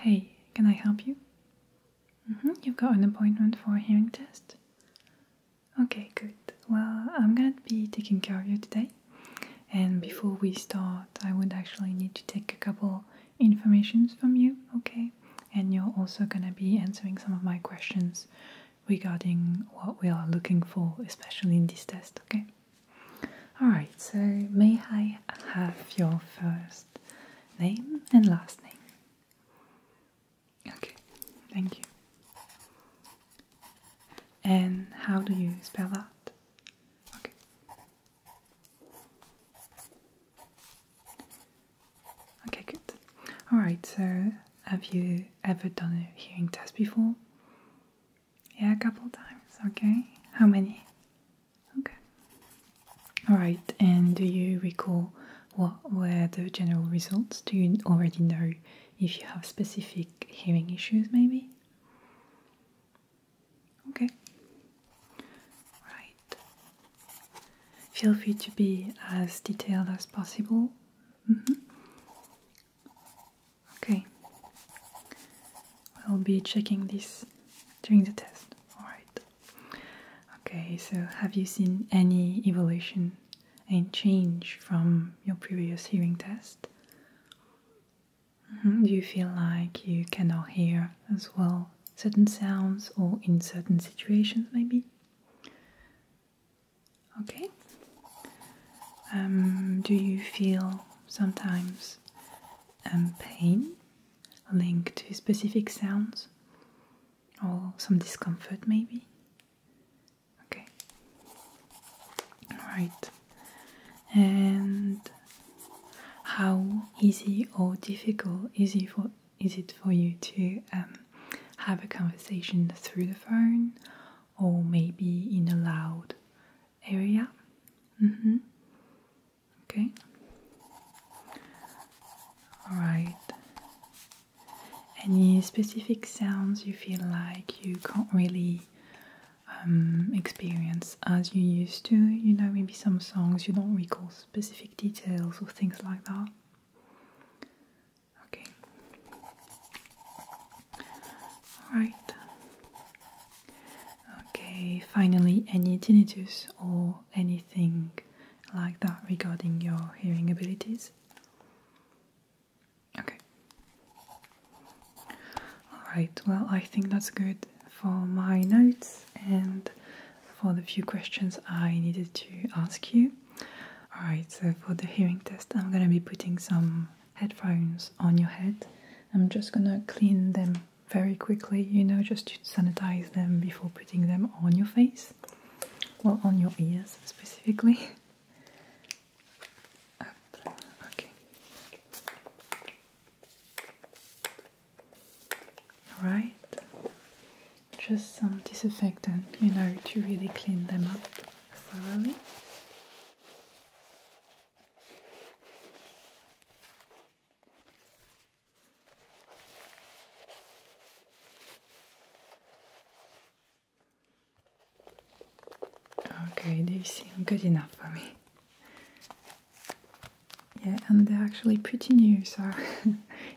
Hey, can I help you? Mm-hmm, you've got an appointment for a hearing test? Okay, good. Well, I'm gonna be taking care of you today. And before we start, I would actually need to take a couple informations from you, okay? And you're also gonna be answering some of my questions regarding what we are looking for, especially in this test, okay? Alright, so may I have your first name and last name? Okay, thank you. And how do you spell that? Okay. Okay, good. Alright, so have you ever done a hearing test before? Yeah, a couple times, okay. How many? Okay. Alright, and do you recall what were the general results? Do you already know if you have specific hearing issues, maybe? Okay. Right, Feel free to be as detailed as possible. Mm-hmm. Okay, I'll be checking this during the test. Alright. Okay, so have you seen any evolution and change from your previous hearing test? Mm-hmm. Do you feel like you cannot hear as well certain sounds or in certain situations, maybe? Okay. Um, do you feel sometimes um, pain linked to specific sounds or some discomfort maybe? Okay. Right. And how easy or difficult is it for, is it for you to um, have a conversation through the phone or maybe in a loud area? Mm-hmm. Okay. Alright. Any specific sounds you feel like you can't really um, experience as you used to? You know, maybe some songs you don't recall specific details or things like that. Okay. Alright. Okay, finally, any tinnitus or anything like that regarding your hearing abilities? Okay. Alright, well, I think that's good for my notes, and for the few questions I needed to ask you. Alright, so for the hearing test, I'm gonna be putting some headphones on your head. I'm just gonna clean them very quickly, you know, just to sanitize them before putting them on your face. Well, on your ears specifically. okay. Alright just some disinfectant, you know, to really clean them up thoroughly. Okay, they seem good enough for me. Yeah, and they're actually pretty new, so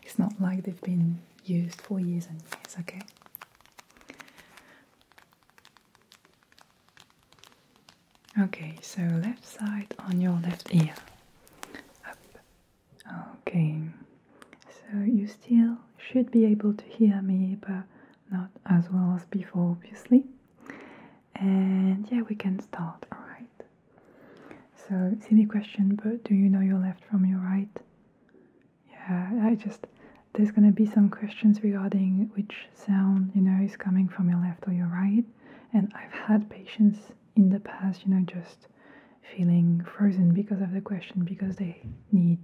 it's not like they've been used for years and years, okay? Okay, so left side on your left ear. Up. Okay, so you still should be able to hear me, but not as well as before, obviously. And yeah, we can start, alright? So, silly question, but do you know your left from your right? Yeah, I just, there's gonna be some questions regarding which sound, you know, is coming from your left or your right. And I've had patients in the past, you know, just feeling frozen because of the question because they need,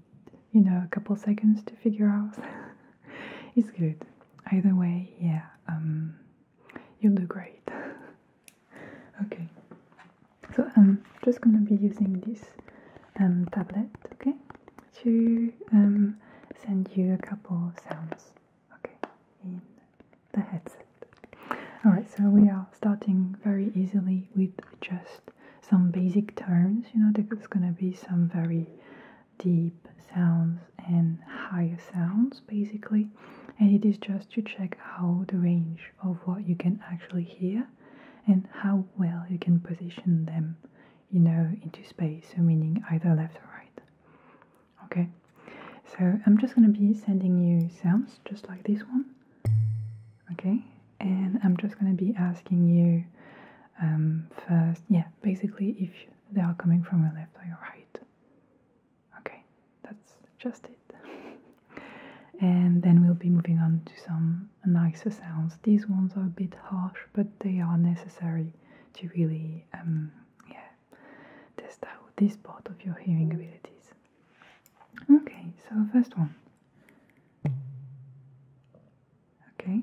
you know, a couple seconds to figure out. it's good. Either way, yeah, um, you'll do great. Okay, so I'm just gonna be using this um, tablet, okay, to um, send you a couple of sounds, okay, in the headset. Alright, so we are starting very easily with just some basic terms. you know, there's gonna be some very deep sounds and higher sounds basically, and it is just to check how the range of what you can actually hear and how well you can position them, you know, into space, meaning either left or right. Okay, so I'm just going to be sending you sounds just like this one. Okay, and I'm just going to be asking you um, first, yeah, basically if they are coming from your left or your right. Okay, that's just it. and then we'll be moving on to some nicer sounds. These ones are a bit harsh, but they are necessary to really, um, yeah, test out this part of your hearing abilities. Okay, so first one. Okay.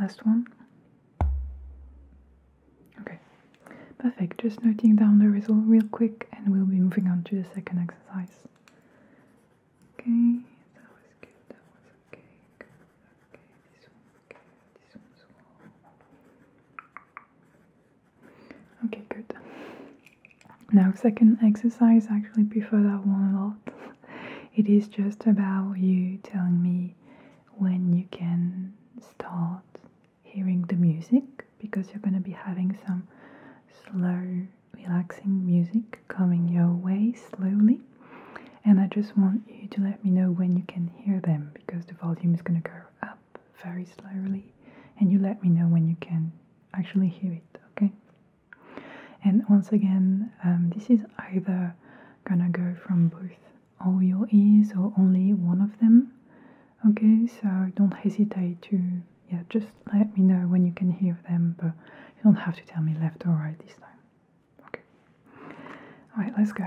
Last one. Okay, perfect. Just noting down the result real quick and we'll be moving on to the second exercise. Okay, that was good, that was okay, okay, this one's okay, this one's well. Okay, good. Now, second exercise, actually prefer that one a lot. it is just about you telling me when you can start hearing the music because you're going to be having some slow, relaxing music coming your way slowly. And I just want you to let me know when you can hear them because the volume is going to go up very slowly. And you let me know when you can actually hear it, okay? And once again, um, this is either gonna go from both all your ears or only one of them. Okay, so don't hesitate to, yeah, just let me know when you can hear them, but you don't have to tell me left or right this time. Okay. Alright, let's go.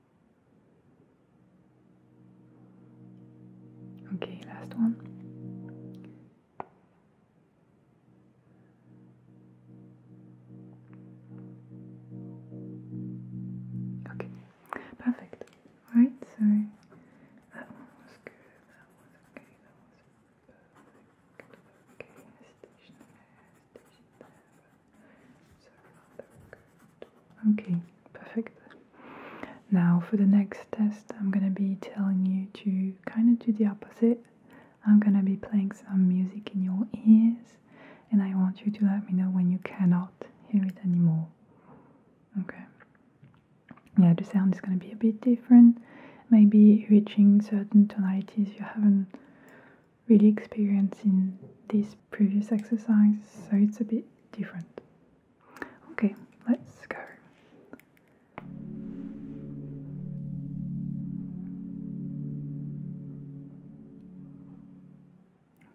Okay, last one. Okay, perfect. Alright, so that one was good, that was okay, that was perfect. Okay, station there, station there. Okay, perfect. Now for the next test, I'm gonna be telling you to kind of do the opposite. I'm gonna be playing some music in your ears, and I want you to let me know when you cannot hear it anymore. Okay. Yeah, the sound is gonna be a bit different. Maybe reaching certain tonalities you haven't really experienced in this previous exercise, so it's a bit different. Okay, let's go.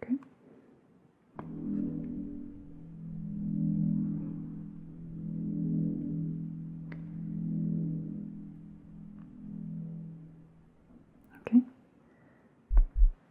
Okay. Okay.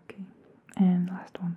Okay, and last one.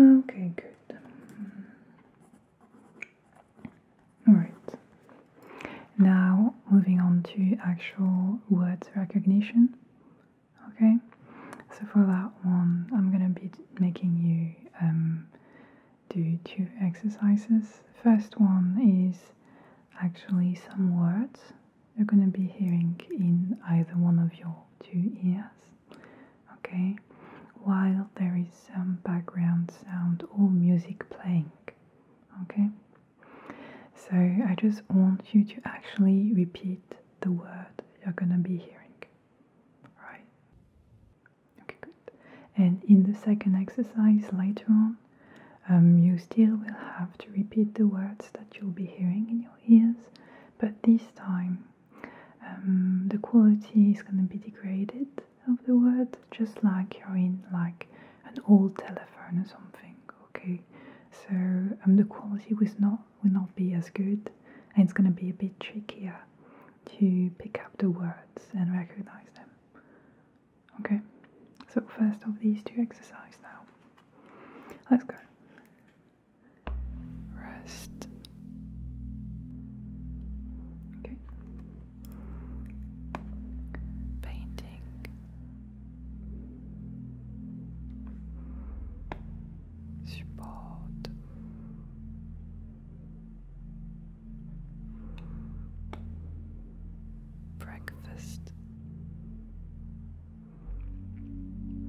Okay, good. Alright. Now moving on to actual words recognition. Okay, so for that one, I'm gonna be making you um, do two exercises. First one is actually some words you're going to be hearing in either one of your two ears, okay? While there is some um, background sound or music playing, okay? So I just want you to actually repeat the word you're going to be hearing, right? Okay, good. And in the second exercise later on, um, you still will have to repeat the words that you'll be hearing in your ears, but this time um, the quality is going to be degraded of the word, just like you're in like an old telephone or something. Okay, so um, the quality was not will not be as good, and it's going to be a bit trickier to pick up the words and recognize them. Okay, so first of these two exercise now. Let's go. Rest. Okay. Painting. Support breakfast.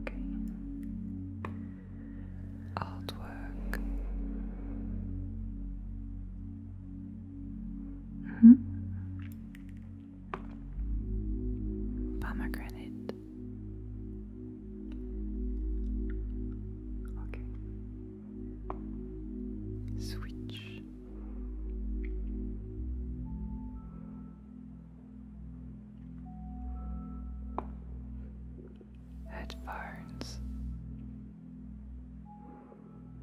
Okay. Artwork. -hmm. Pomegranate. Okay. Switch. Headphones.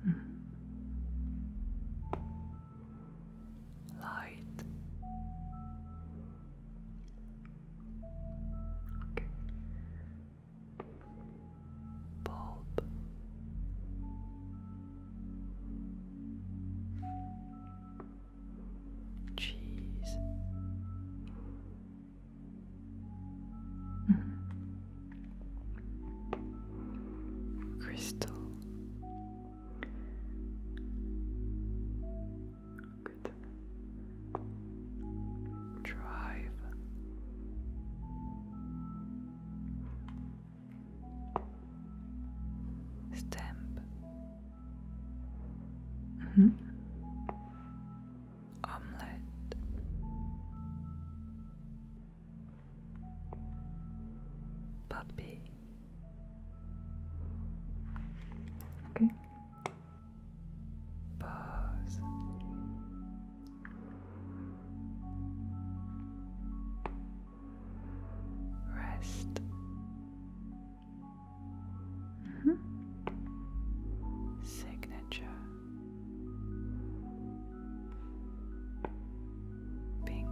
Mm. Light. Okay bulb. Cheese. Mm-hmm. Crystal. Good. Drive. Stamp. Mm-hmm. Omelette. Puppy. Okay. Pause. Rest. Mm-hmm. Signature. Pink.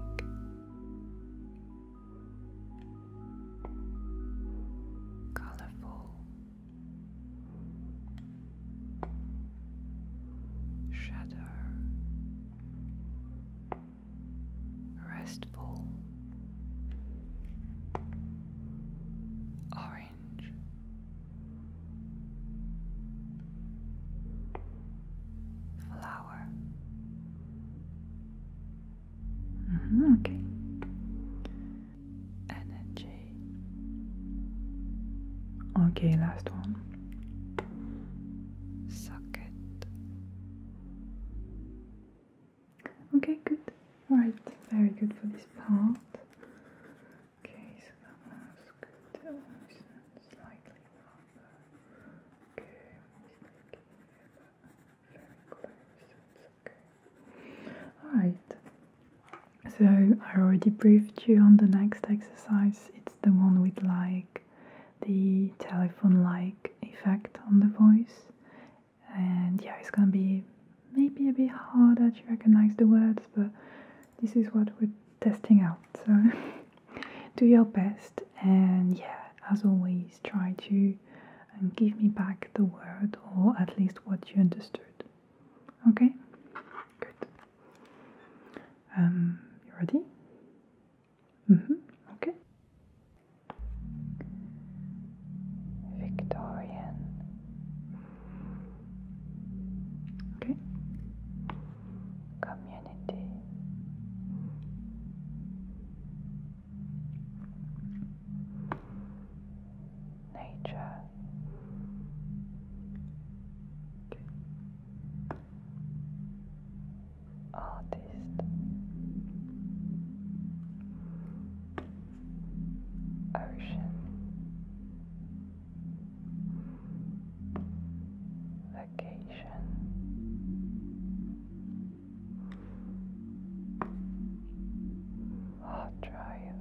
Colorful shadow, restful, orange. Flower. Mm-hmm, okay. Energy. Okay, last one socket. Okay, good. Alright, very good for this part. Okay, so that one's good. Oh, it's slightly proper. Okay, very close. okay. Alright. So I already briefed you on the next exercise. It's the one with like the telephone like effect on the voice. And yeah, it's gonna be maybe a bit harder to recognize the words, but this is what we're testing out. So do your best and yeah, as always, try to um, give me back the word or at least what you understood. Okay, good. Um, you ready? Mm-hmm. Okay. Victorian. Okay. Community. Nature. Okay artist. Ocean Vacation Hard Drive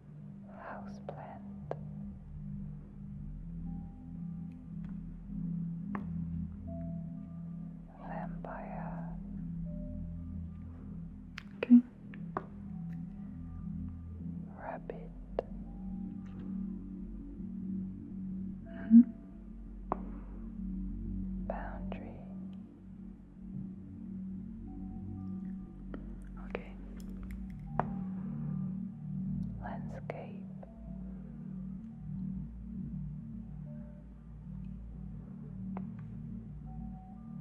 houseplant. Vampire. Okay. Rabbit. Mm-hmm. Boundary. Okay. Landscape.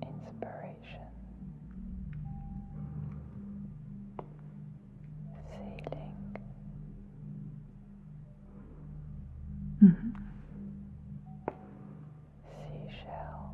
Inspiration. Ceiling. -hmm. Seashell.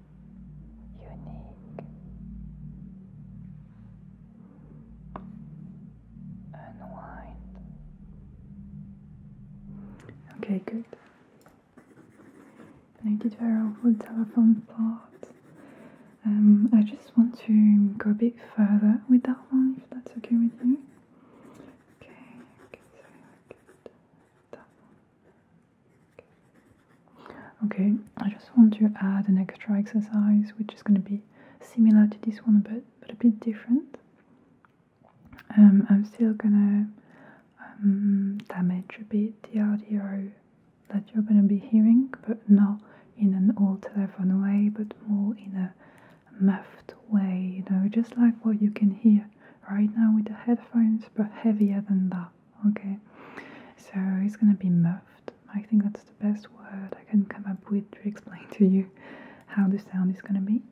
unique, Okay, good. I did Tara, for the telephone part. Um, I just want to go a bit further with that one, if that's okay with you. Okay, okay, so good. That Okay, I just want to add an extra exercise which is going to be similar to this one but, but a bit different. Um, I'm still going to um, damage a bit the audio that you're going to be hearing but not in an old telephone way but more in a muffled way, you know, just like what you can hear right now with the headphones but heavier than that. Okay, so it's gonna be muffled. I think that's the best word I can come up with to explain to you how the sound is gonna be.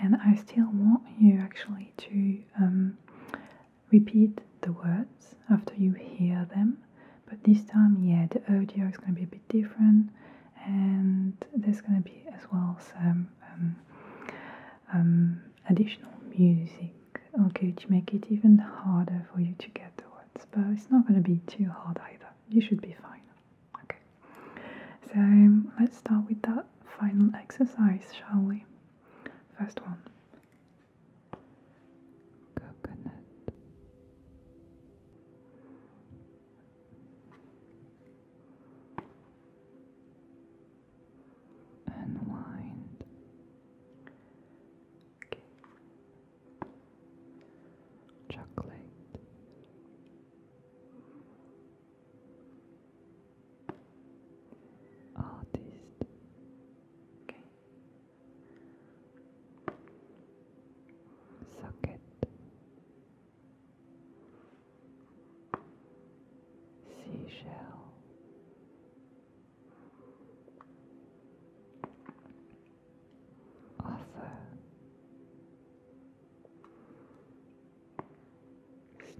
And I still want you actually to um, repeat the words after you hear them, but this time, yeah, the audio is gonna be a bit different, and there's gonna be as well some um, um, additional music okay to make it even harder for you to get the words, but it's not going to be too hard either. You should be fine. Okay, so let's start with that final exercise, shall we? First one Coconut unwind. Okay. Chocolate. Artist. Okay. Socket. Seashell. Offer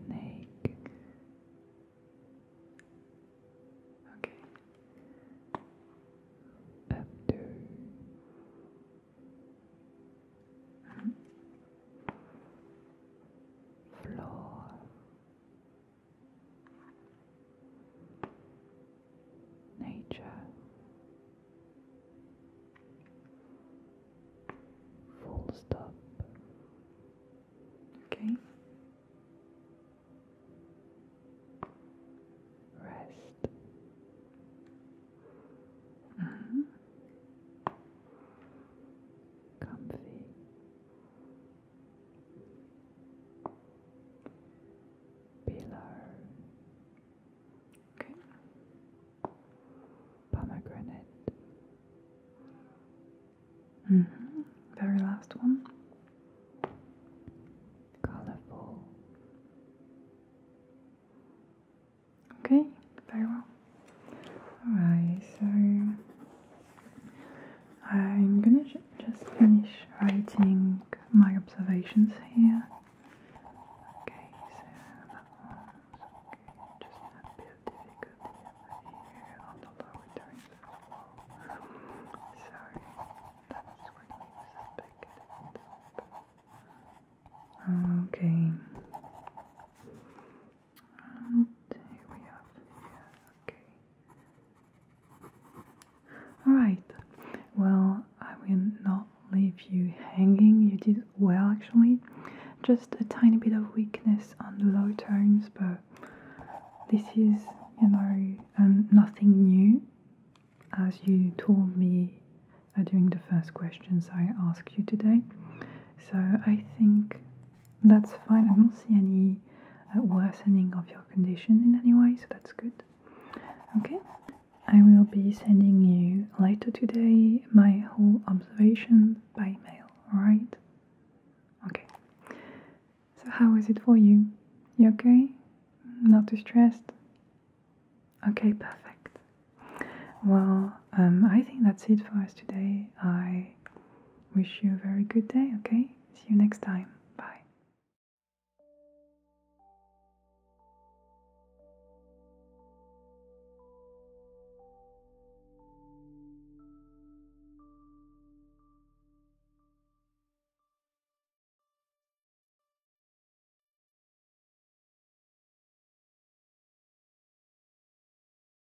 Snake. Okay. After. Hmm. Floor nature, full stop. Okay. Rest. -hmm. Comfy. Pillar. Okay. Pomegranate. hmm Very last one. Colorful. Okay, very well. Alright, so I'm gonna just finish writing my observations here. Okay, so just a bit difficult here, although we're doing this well. So that's when we Okay. Alright, well, I will not leave you hanging. You did well, actually. Just a tiny bit of weakness on the low tones, but this is, you know, um, nothing new. As you told me uh, during the first questions I asked you today. So I think that's fine. I don't see any uh, worsening of your condition in any way, so that's good. Okay, I will be sending you later today my whole observation by mail, Right? Okay, so how is it for you? You okay? Not too stressed? Okay, perfect. Well, um, I think that's it for us today. I wish you a very good day, okay? See you next time. Bye.